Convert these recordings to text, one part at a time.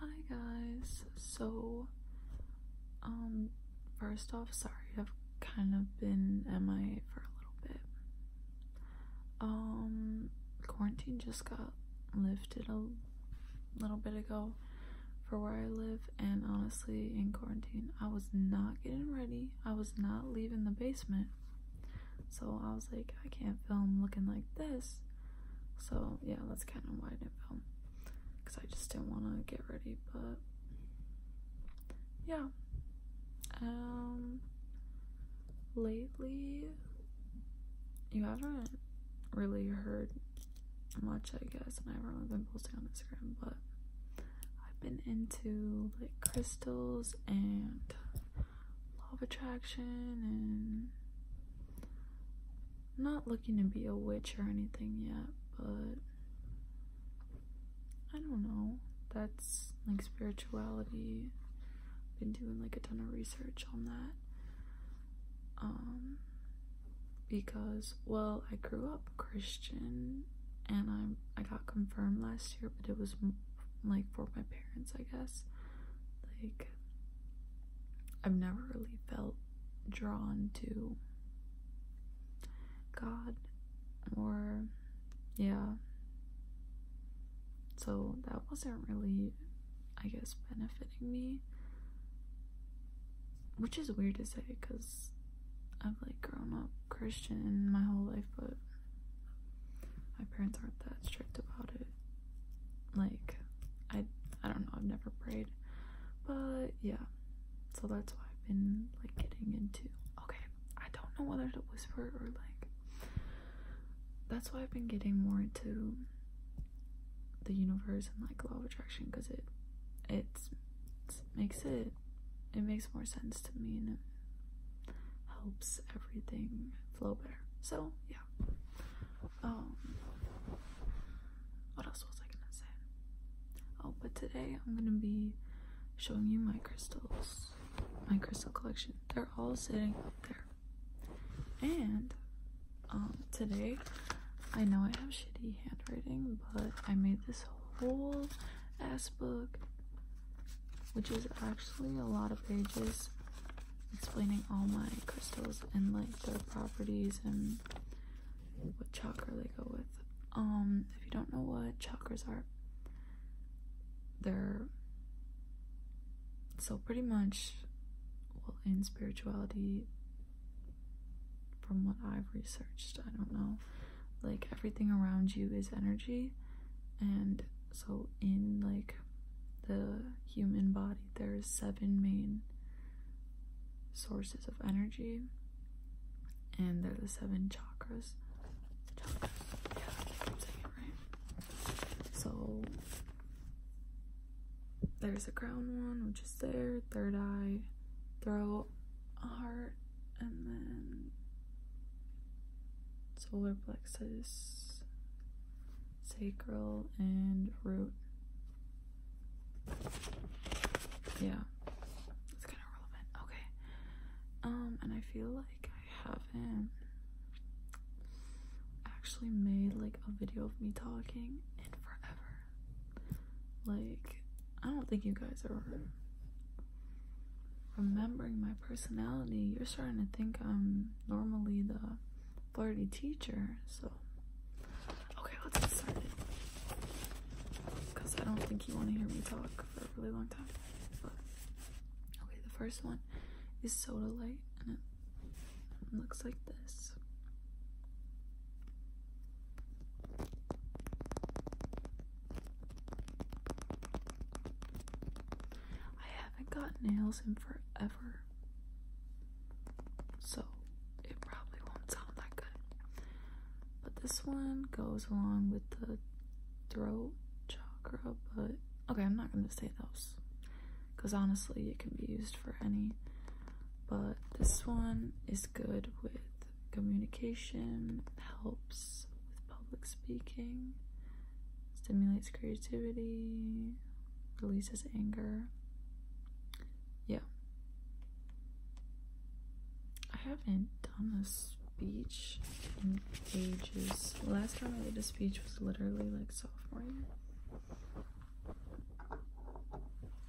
Hi guys. So um first off, sorry I've kind of been MIA for a little bit. Um quarantine just got lifted a little bit ago for where I live and honestly in quarantine I was not getting ready. I was not leaving the basement. So I was like I can't film looking like this. So yeah, that's kind of why I didn't film because I just didn't want to get ready. But yeah, um, lately you haven't really heard much, I guess, and I haven't really been posting on Instagram, but I've been into like crystals and law of attraction and I'm not looking to be a witch or anything yet, but I don't know. That's like spirituality. I've been doing like a ton of research on that. Um because well, I grew up Christian and I'm I got confirmed last year, but it was like for my parents, I guess. Like I've never really felt drawn to God or yeah. So that wasn't really I guess benefiting me. Which is weird to say cuz I've like grown up Christian my whole life but my parents aren't that strict about it like I I don't know, I've never prayed. But yeah. So that's why I've been like getting into okay, I don't know whether to whisper or like that's why I've been getting more into the universe and like law of attraction because it it makes it it makes more sense to me and it helps everything flow better. So yeah um what else was I gonna say? Oh, but today I'm gonna be showing you my crystals, my crystal collection. They're all sitting up there. And um today I know I have shitty handwriting, but I made this whole ass book which is actually a lot of pages explaining all my crystals and like their properties and what chakra they go with. Um, if you don't know what chakras are, they're so pretty much well in spirituality from what I've researched, I don't know. Like everything around you is energy and so in like the human body there is seven main sources of energy and they're the seven chakras, chakras. Yeah, it, right? so there's the crown one which is there third eye throat heart and then solar plexus sacral and root. Yeah, it's kind of relevant. Okay. Um, and I feel like I haven't actually made like a video of me talking in forever. Like, I don't think you guys are remembering my personality. You're starting to think I'm normally the flirty teacher, so okay, let's get started. Because I don't think you want to hear me talk for a really long time. But okay, the first one is soda light and it looks like this. I haven't got nails in forever, so it probably won't sound that good. But this one goes along with the throat chakra, but okay, I'm not going to say those because honestly, it can be used for any. But this one is good with communication, helps with public speaking stimulates creativity, releases anger. Yeah. I haven't done a speech in ages. Last time I did a speech was literally like sophomore year.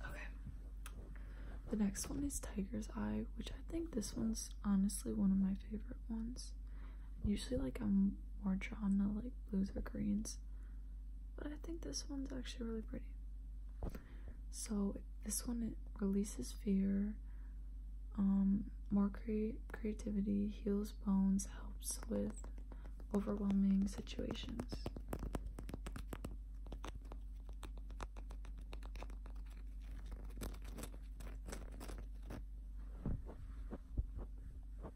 Okay. The next one is Tiger's Eye, which I think this one's honestly one of my favorite ones. Usually, like, I'm more drawn to like blues or greens, but I think this one's actually really pretty. So, this one releases fear, um, more cre- creativity, heals bones, helps with overwhelming situations. Okay.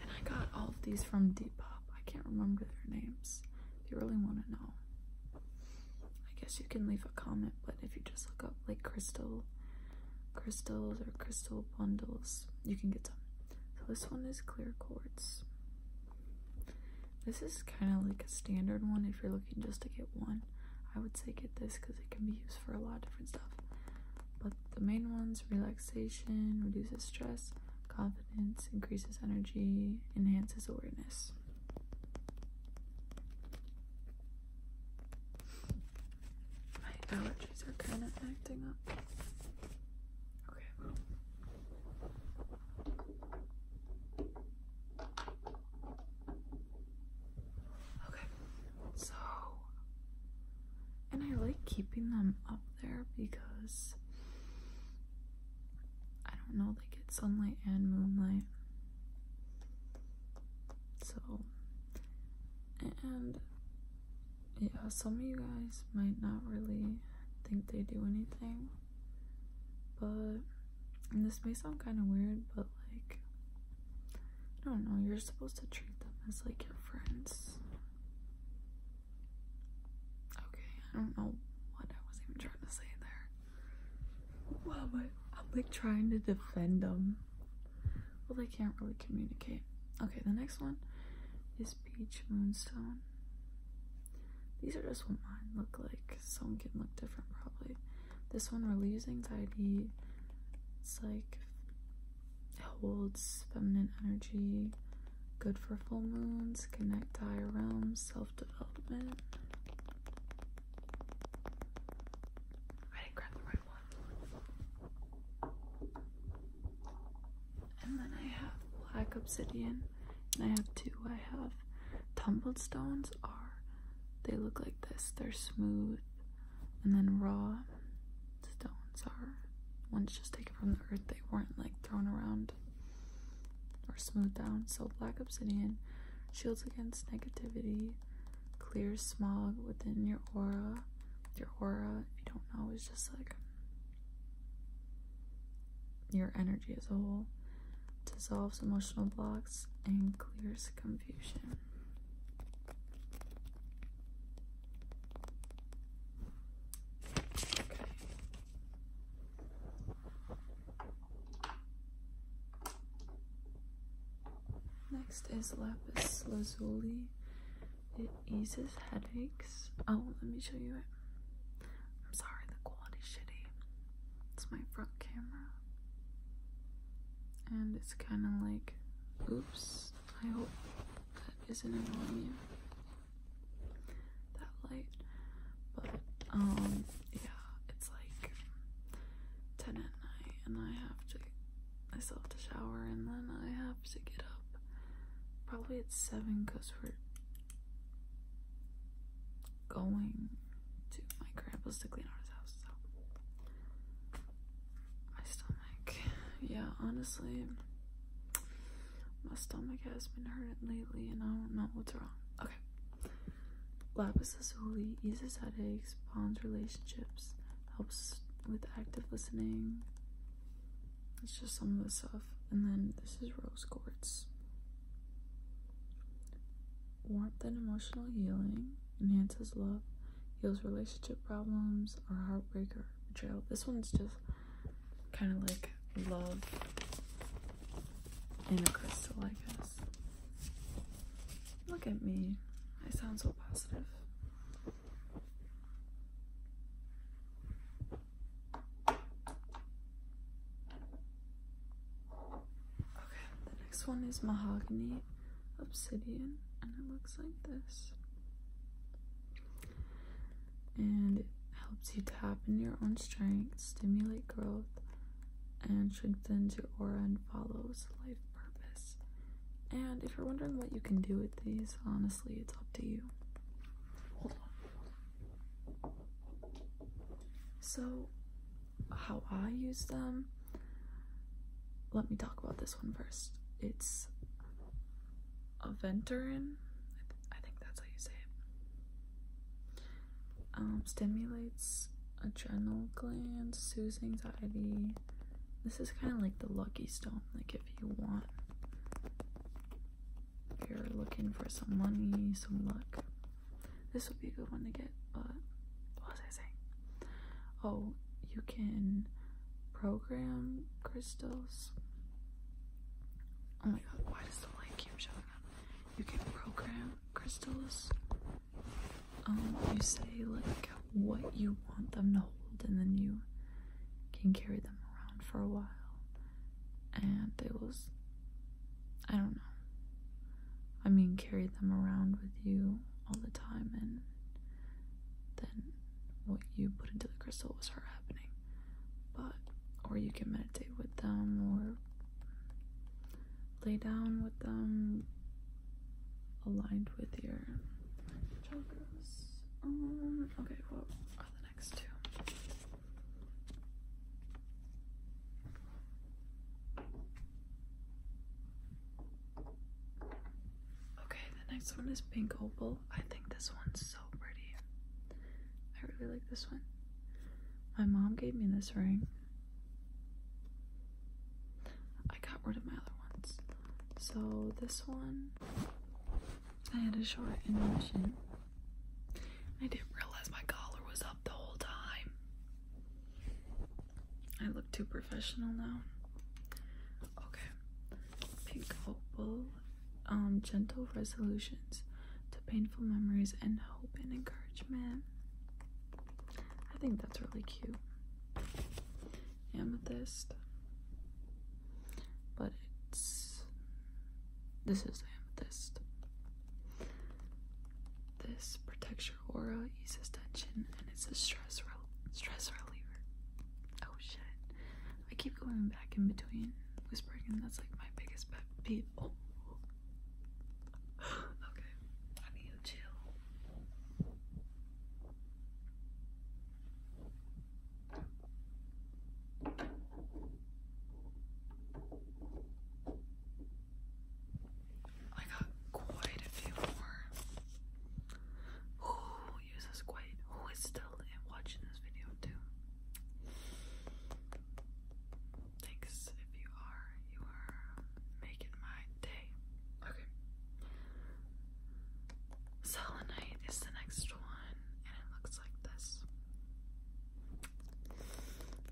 And I got all of these from Depop. I can't remember their names. If you really want to know, I guess you can leave a comment. But if you just look up like crystal crystals or crystal bundles. You can get some. So this one is clear quartz. This is kind of like a standard one if you're looking just to get one. I would say get this because it can be used for a lot of different stuff. But the main ones relaxation, reduces stress, confidence, increases energy, enhances awareness. My allergies are kind of acting up. Okay. Okay, so. And I like keeping them up there because I don't know, they get sunlight and moonlight. So and yeah, some of you guys might not really think they do anything, but this may sound kind of weird, but like, I don't know, you're supposed to treat them as like your friends. Okay, I don't know what I was even trying to say there. Wow, I'm like trying to defend them. Well, they can't really communicate. Okay, the next one is Peach Moonstone. These are just what mine look like. Someone can look different, probably. This one relieves anxiety. It's like it holds feminine energy. Good for full moons. Connect higher realms. Self development. I didn't grab the right one. And then I have black obsidian. And I have two. I have tumbled stones are they look like this. They're smooth. And then raw stones are ones just taken from the earth. They weren't like thrown around or smoothed down. So black obsidian shields against negativity clear smog within your aura. Your aura, if you don't know, is just like your energy as a whole. Dissolves emotional blocks and clears confusion. Next is lapis lazuli. It eases headaches. Oh, let me show you it. I'm sorry, the quality's shitty. It's my front camera. And it's kind of like, oops, I hope that isn't annoying you. That light. But, um, yeah, it's like 10 at night and I have to I still have to shower and then I have to get up probably at 7 because we're going to my grandpa's to clean out his house. So my stomach, yeah, honestly, my stomach has been hurting lately and I don't know what's wrong. Okay. Lapis lazuli eases headaches, bonds relationships, helps with active listening. It's just some of the stuff. And then this is rose quartz. Warmth and emotional healing enhances love, heals relationship problems or heartbreak or betrayal. This one's just kind of like love in a crystal, I guess. Look at me. I sound so positive. Okay, the next one is mahogany obsidian, and it looks like this. And it helps you tap in your own strength, stimulate growth, and strengthens your aura and follows life purpose. And if you're wondering what you can do with these, honestly, it's up to you. Hold on. So, how I use them, let me talk about this one first. It's a Venturin, I think that's how you say it, um, stimulates adrenal glands, soothes anxiety. This is kind of like the lucky stone. Like if you want, you're looking for some money, some luck, this would be a good one to get. But what was I saying? Oh, you can program crystals. Oh my god, why does the light keep showing up? You can program crystals um, you say like what you want them to hold, and then you can carry them around for a while, and it was, I don't know. I mean, carry them around with you all the time, and then what you put into the crystal will start happening. But, or you can meditate with them, or lay down with them aligned with your chakras. Um, okay, what are the next two? Okay, the next one is Pink Opal. I think this one's so pretty. I really like this one. My mom gave me this ring I got rid of my other ones. So this one, I had a short motion. I didn't realize my collar was up the whole time. I look too professional now. Okay. Pink Opal. Um, gentle resolutions to painful memories and hope and encouragement. I think that's really cute. Amethyst. But it's. This is amethyst. This protects your aura, eases tension, and it's a stress, reliever. Oh shit. I keep going back in between whispering, and that's like my biggest pet peeve. Oh, okay, I need you chill. I got quite a few more. Who uses quite? Who is still watching this video too? Thanks if you are. You are making my day. Okay. Selenite is the next one, and it looks like this.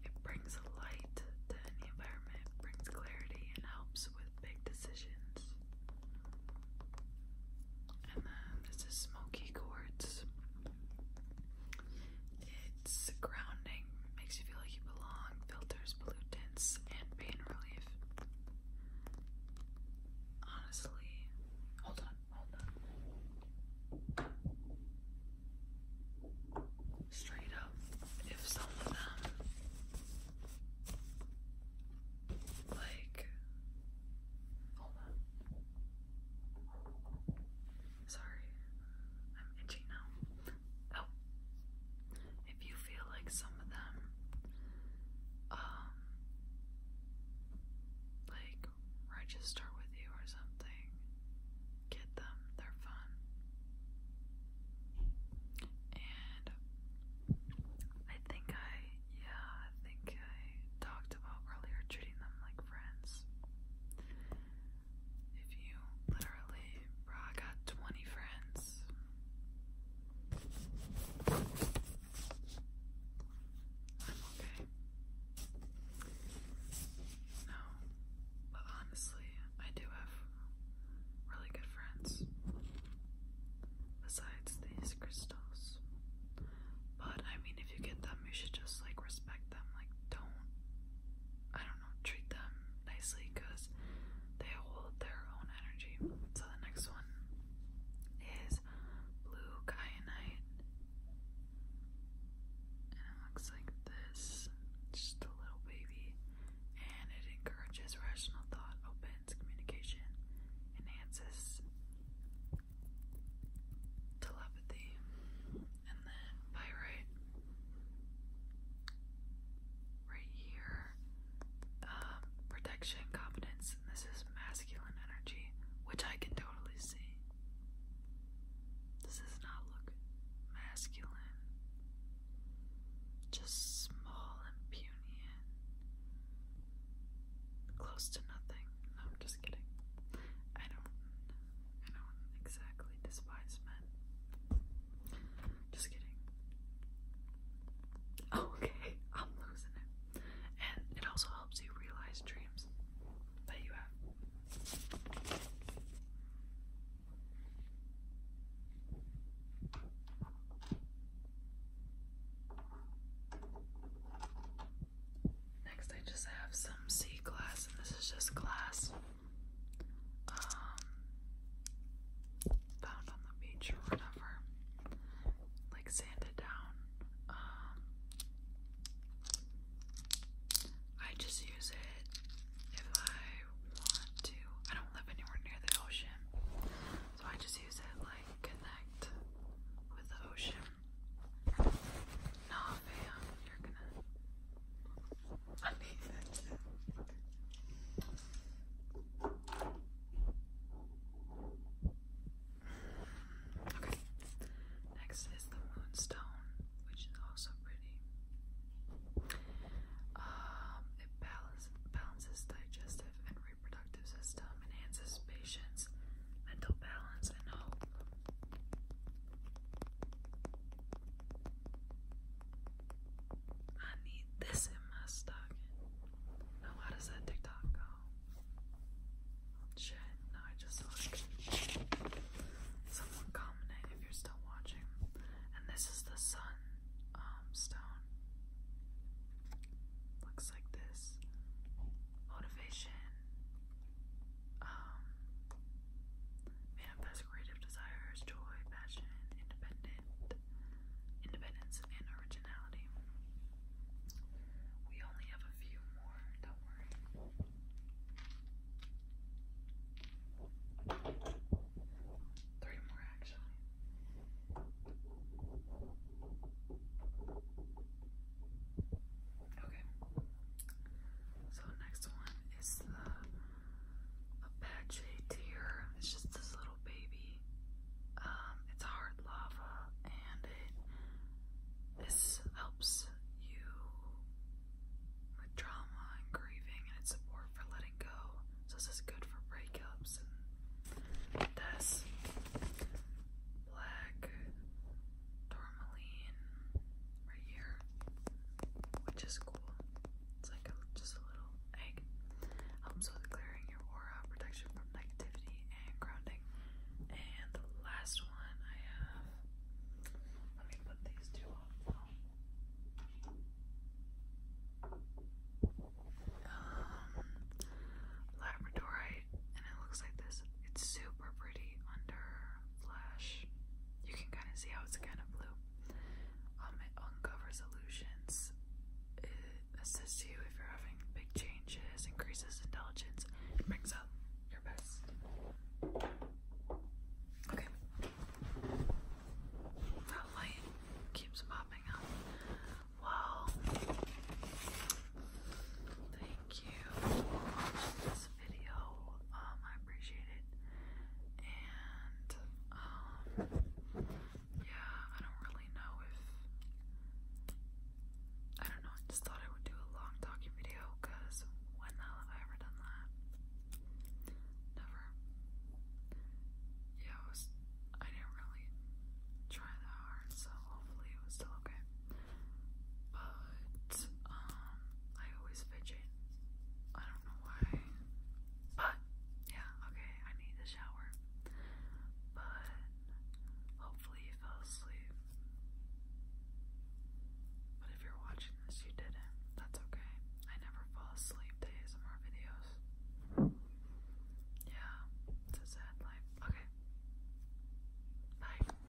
It brings light to any environment, It brings clarity, and helps with big decisions. And then this is smoky quartz. It's grounding, makes you feel like you belong, filters pollutants, and pain relief. Honestly, hold on, hold on. Straight up, if some of them, like, hold on. Sorry, I'm itchy now. Oh, if you feel like some of them, um, like register with you or something, get them, they're fun. And I think I, yeah, I think I talked about earlier treating them like friends. If you literally, bro, I got 20 friends. I'm okay. No, but honestly, I do have really good friends. Besides these crystals. But I mean, if you get them, you should just like respect them. Like, don't. I don't treat them nicely because they hold their own energy. So the next one is blue cyanite, And it looks like this. Just a little baby. And it encourages rational thought, opens communication, enhances telepathy and then pyrite right here. Um, protection, confidence, this is masculine energy, which I can totally see. This does not look masculine. Just small and puny and close to nothing. I'm just kidding. I don't I don't exactly despise just kidding. okay, I'm losing it. And it also helps you realize dreams that you have. Next, I just have some sea glass, this is just glass um, found on the beach or whatever, like sanded down. Um, I just use it if I want to. I don't live anywhere near the ocean, so I just use it like connect with the ocean. Nah, fam, you're gonna. need that. Okay. Next is the moonstone, which is also pretty. Um, it balances digestive and reproductive system, enhances patience, mental balance, and hope. I need this in my stocking. Now, how does that TikTok go? Shit, no, I just saw Someone commented if you're still watching. And this is the sun um, stone. Looks like this. Motivation, um, manifest creative desires, joy, passion, independent, independence, and originality. We only have a few more, don't worry. Three more, actually. Okay. So the next one is the Apache tear. It's just this little baby. Um, it's hard lava and it this helps you with trauma and grieving and it's a support for letting go. So this is good for breakups and this black tourmaline right here, which is cool. It's like just a little egg. Helps with clearing your aura, protection from negativity, and grounding. And the last one I have. Let me put these two on. Um, labradorite, and it looks like this. It's super pretty under flash. You can kind of see how it's kind of blue. it uncovers illusions. It assists you if you're having big changes, increases intelligence, and up your best. Okay. That light keeps popping up. Well, thank you video. Um, I appreciate it. And um, yeah, I don't really know if I don't know. I just thought I would do a long talking video because when the hell have I ever done that? Never. Yeah, it I didn't really try that hard, so hopefully it was still okay but um, I always fidget. I don't know why, but yeah, okay, I need the shower, but hopefully you fell asleep. But if you're watching this, you didn't. That's okay. I never fall asleep to ASMR videos. Yeah, it's a sad life. Okay. Bye.